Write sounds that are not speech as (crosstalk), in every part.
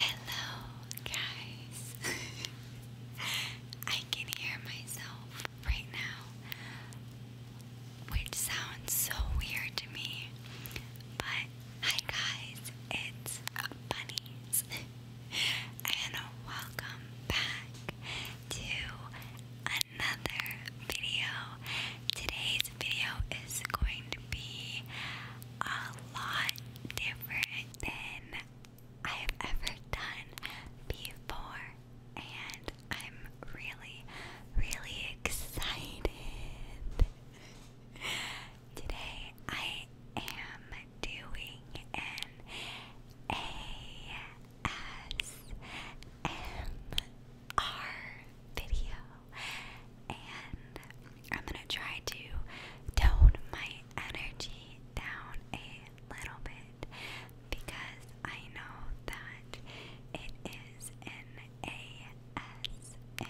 Hello, guys. (laughs) I can hear myself right now, which sounds so weird to me. But hi, guys, it's Bunnies, (laughs) and welcome back to another video. Today's video is going to be a lot different than I've ever done before, and I'm really, really excited. (laughs) Today I am doing an ASMR video and I'm gonna try to tone my energy down a little bit because I know that it is an ASMR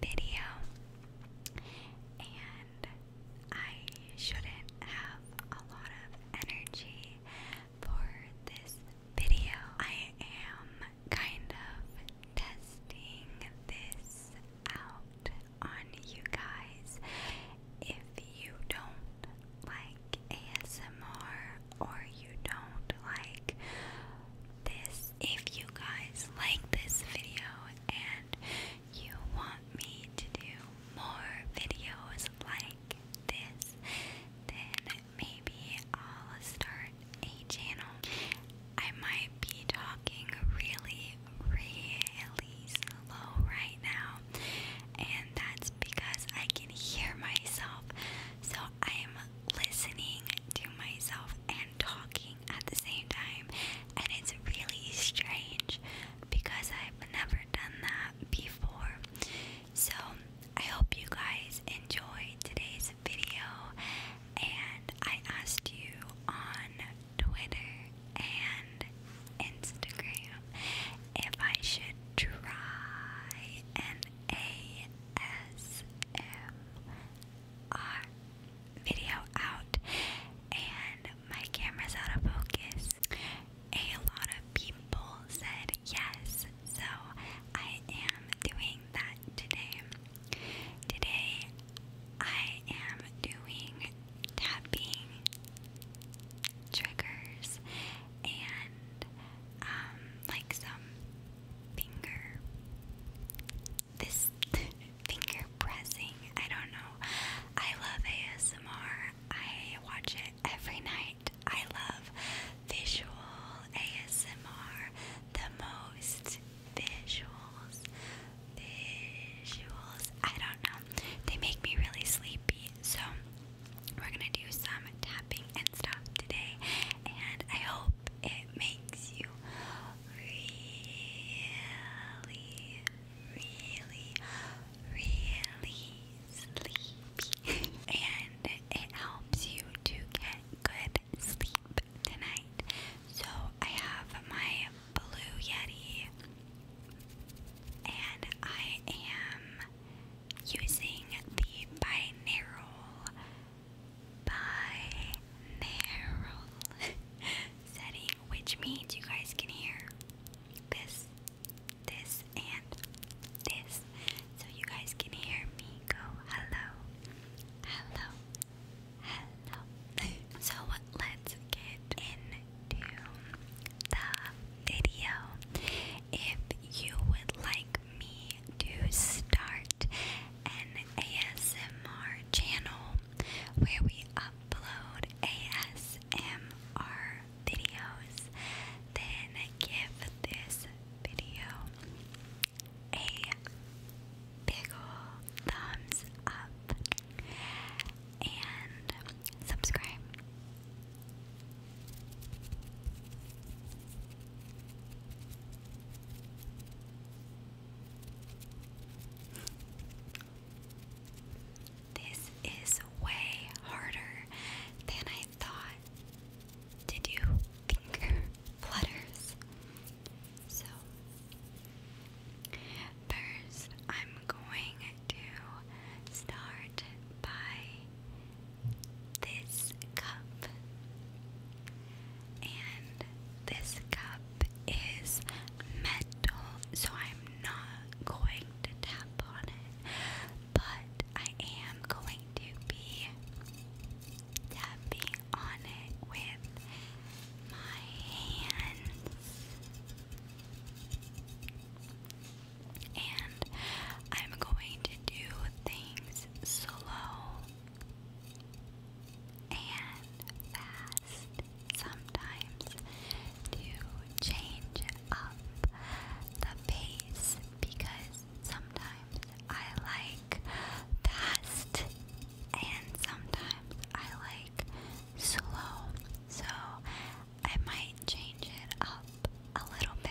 video and I shouldn't have a lot of energy for this video. I am kind of testing this out on you guys. If you don't like ASMR or you don't like this, if you guys like this video and you want me to do more videos like this, then maybe I'll start a channel, I might be talking really, really slow right now, and that's because I can hear myself. So I'm listening to myself and talking at the same time, and it's really strange because I've never done that before. So I hope you guys enjoyed today's video and I asked you on Twitter and Instagram if I should try an video out, and my camera's out of focus. A lot of people said yes, so I am doing that today. Today I am doing tapping triggers and um, like some finger this (laughs) finger pressing. I don't know. I love ASMR. I watch it every night. I love visual ASMR, the most visuals, visuals. I don't know. They make me really sleepy, so we're gonna do some tapping and stuff today, and I hope it makes you really, really, really sleepy, (laughs) and it helps you to get good sleep tonight. So I have my blue Yeti and I am using the binaural binaural (laughs) setting which means you guys can hear this this and this so you guys can hear me go hello, hello, hello. so let's get into the video. If you would like me to start an ASMR channel where we upload ASMR videos, then give this video a big thumbs up and subscribe. This is way harder than I thought did you think flutters? So, first, I'm going to start by this cup. And this cup is metal, so I'm not going to tap on it. But I am going to be tapping on it with my hands. And I'm going to do things slow and fast sometimes to change up the pace because Sometimes I like fast and sometimes I like slow. So I might change it up a little bit.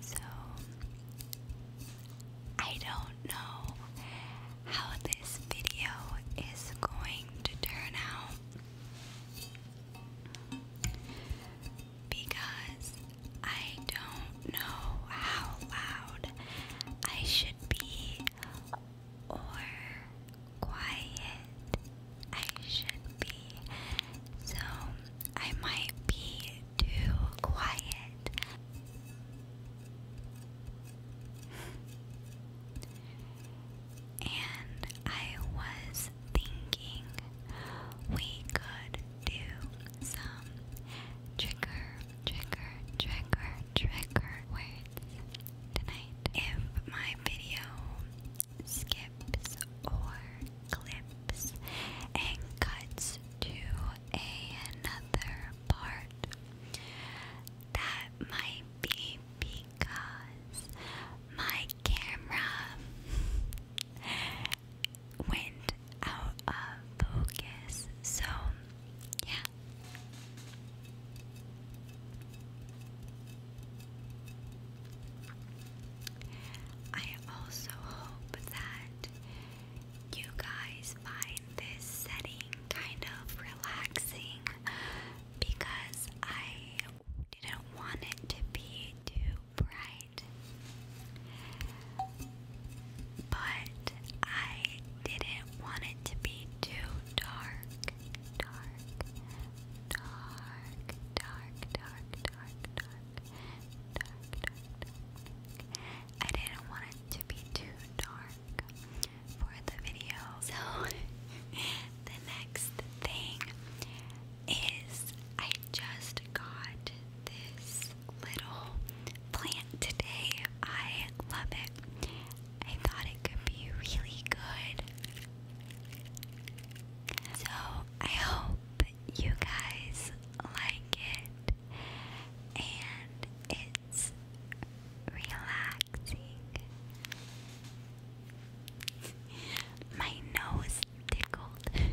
So I don't know how this video is going to turn out because I don't know how loud I should be or quiet I should be. So I might be too quiet. and I was thinking we could do some trigger, trigger, trigger, trigger words tonight. If my video skips, or clips and cuts to another part. That might be because my camera went out of focus, so yeah. I also hope that you guys find this setting kind of relaxing because I didn't want it to be too bright. But I didn't want it to be too dark, dark, dark, dark, dark, dark, dark, I didn't want it to be too dark for the video. So (laughs) the next thing is I just got this little plant today. I love it. I thought it could be really good. So I hope you guys like it and it's relaxing. My nose tickled.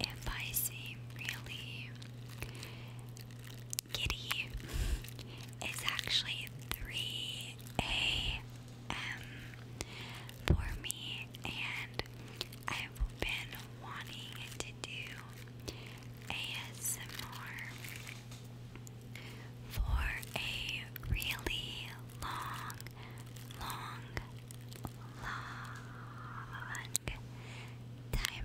if I seem really giddy, it's actually 3 a.m. for me, and I've been wanting to do ASMR for a really long, long long time. Thank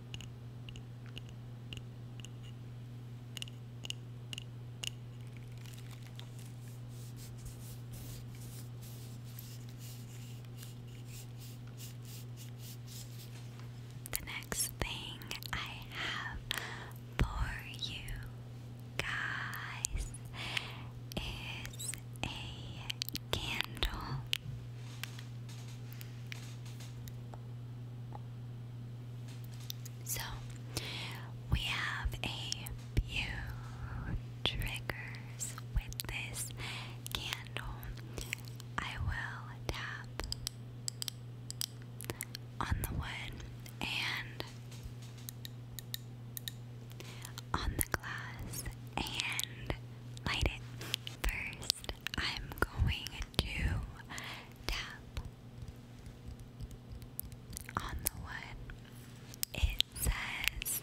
The next thing I have for you guys is a candle. So we have a few triggers with this candle. I will tap on the wood and on the glass and light it. First, I'm going to tap on the wood. It says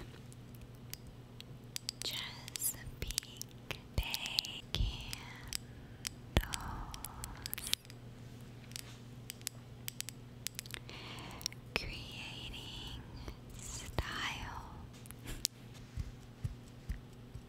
Chesapeake Bay Candles. Creating style.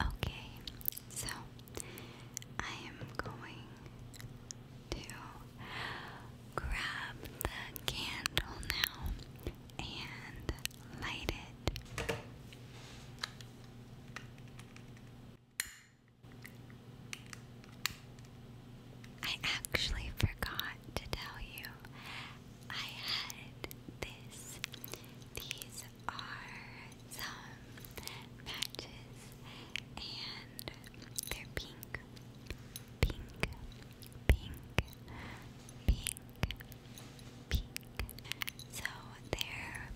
Okay, so I am going to grab the candle now and light it. I actually forgot to tell you. I had this. These are some matches, and they're pink, pink, pink, pink, pink. So they're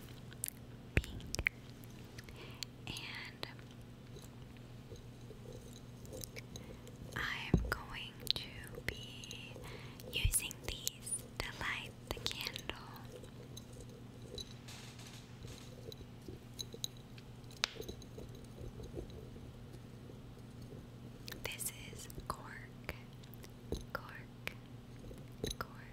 pink, and I'm going to be using these to light the candle. This is cork, cork, cork,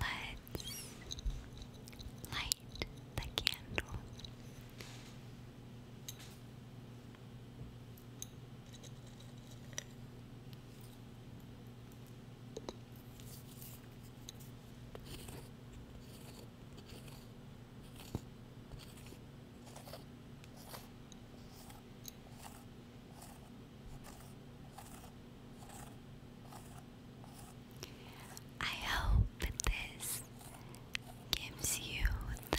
Let's light the candle. I hope this gives you that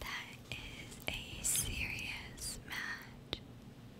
That is a serious match.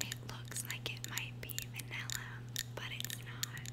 It looks like it might be vanilla, but it's not.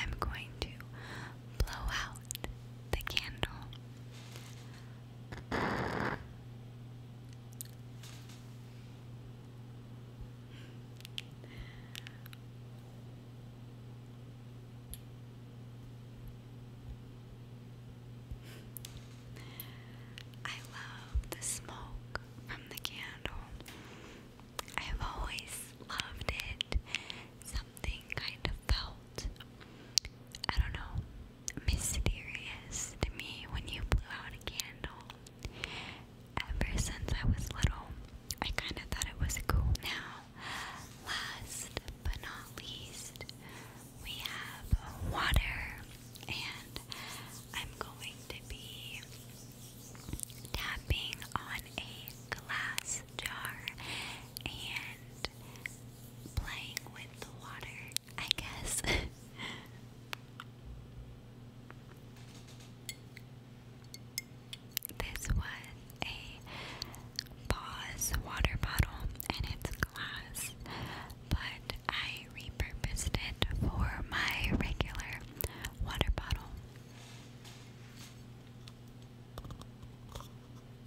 I'm going to blow out the candle. I love the smoke from the candle. I've always loved it something kind of felt, I don't know, mysterious to me when you blew out a candle. Ever since I was little, I kind of thought it was cool. Now, last but not least, we have water, and I'm going to be tapping on a glass jar and playing with the water, I guess. (laughs) this was a Paws water bottle and it's glass, but I repurposed it for my regular water bottle.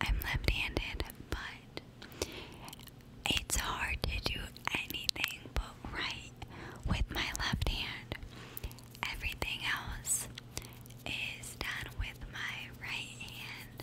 I'm left handed, but it's hard to do anything but write with my left hand. Everything else is done with my right hand.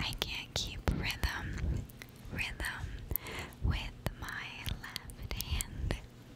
I can't keep rhythm, rhythm with my left hand.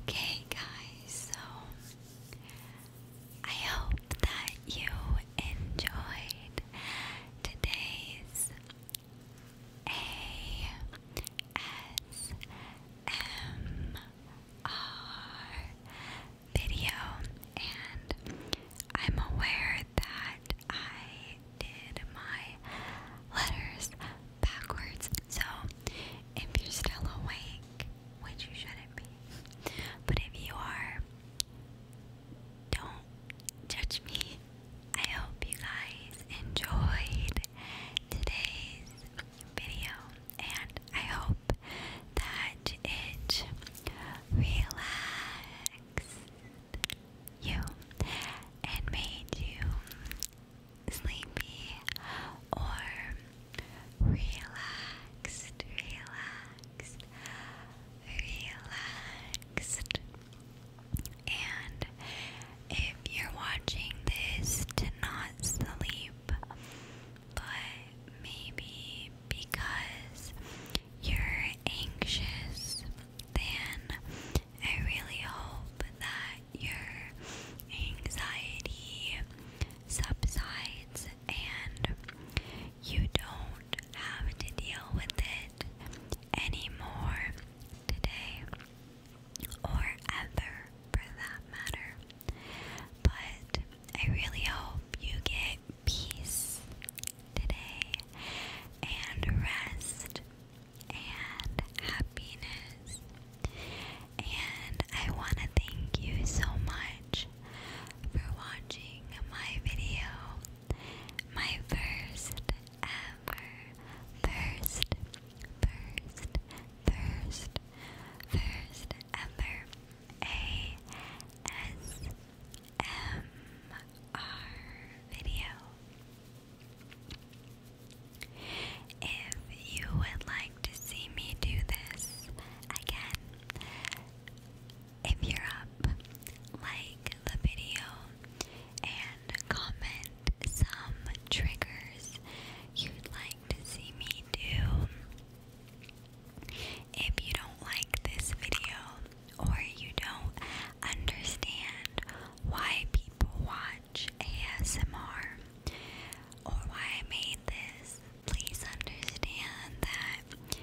Okay, guys, so I hope that you enjoyed today's ASMR video, and I'm aware that I did my letters backwards. So if you're still awake, which you shouldn't be, but if you are, don't judge me. I hope you guys enjoyed today's video and I hope that it relaxed you and made you sleepy or relaxed, relaxed, relaxed. And if you're watching this to not sleep, but maybe because you're anxious then I really hope that your anxiety subsides and you don't have to deal with it anymore today or ever for that matter. But I really hope you get peace today and rest and happiness. And I want to thank you so much for watching my video, my first ever, first, first, first, first ever ASMR video. If you would like to see me do this again, if you're up, like the video and comment some triggers you'd like to see me do. If you don't like this video or you don't understand why people watch ASMR or why I made this, please understand that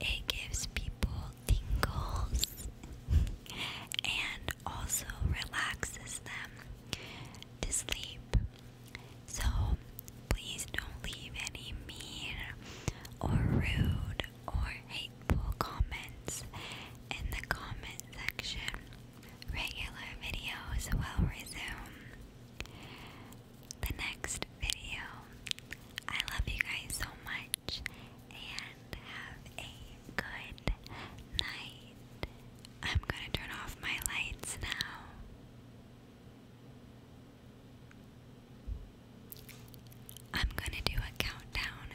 it gives people tingles (laughs) and also relaxes them to sleep. So please don't leave any mean or rude or hateful comments in the comment section. Regular videos will resume. The next video. I love you guys so much and have a good night. I'm gonna turn off my lights now. I'm gonna do a countdown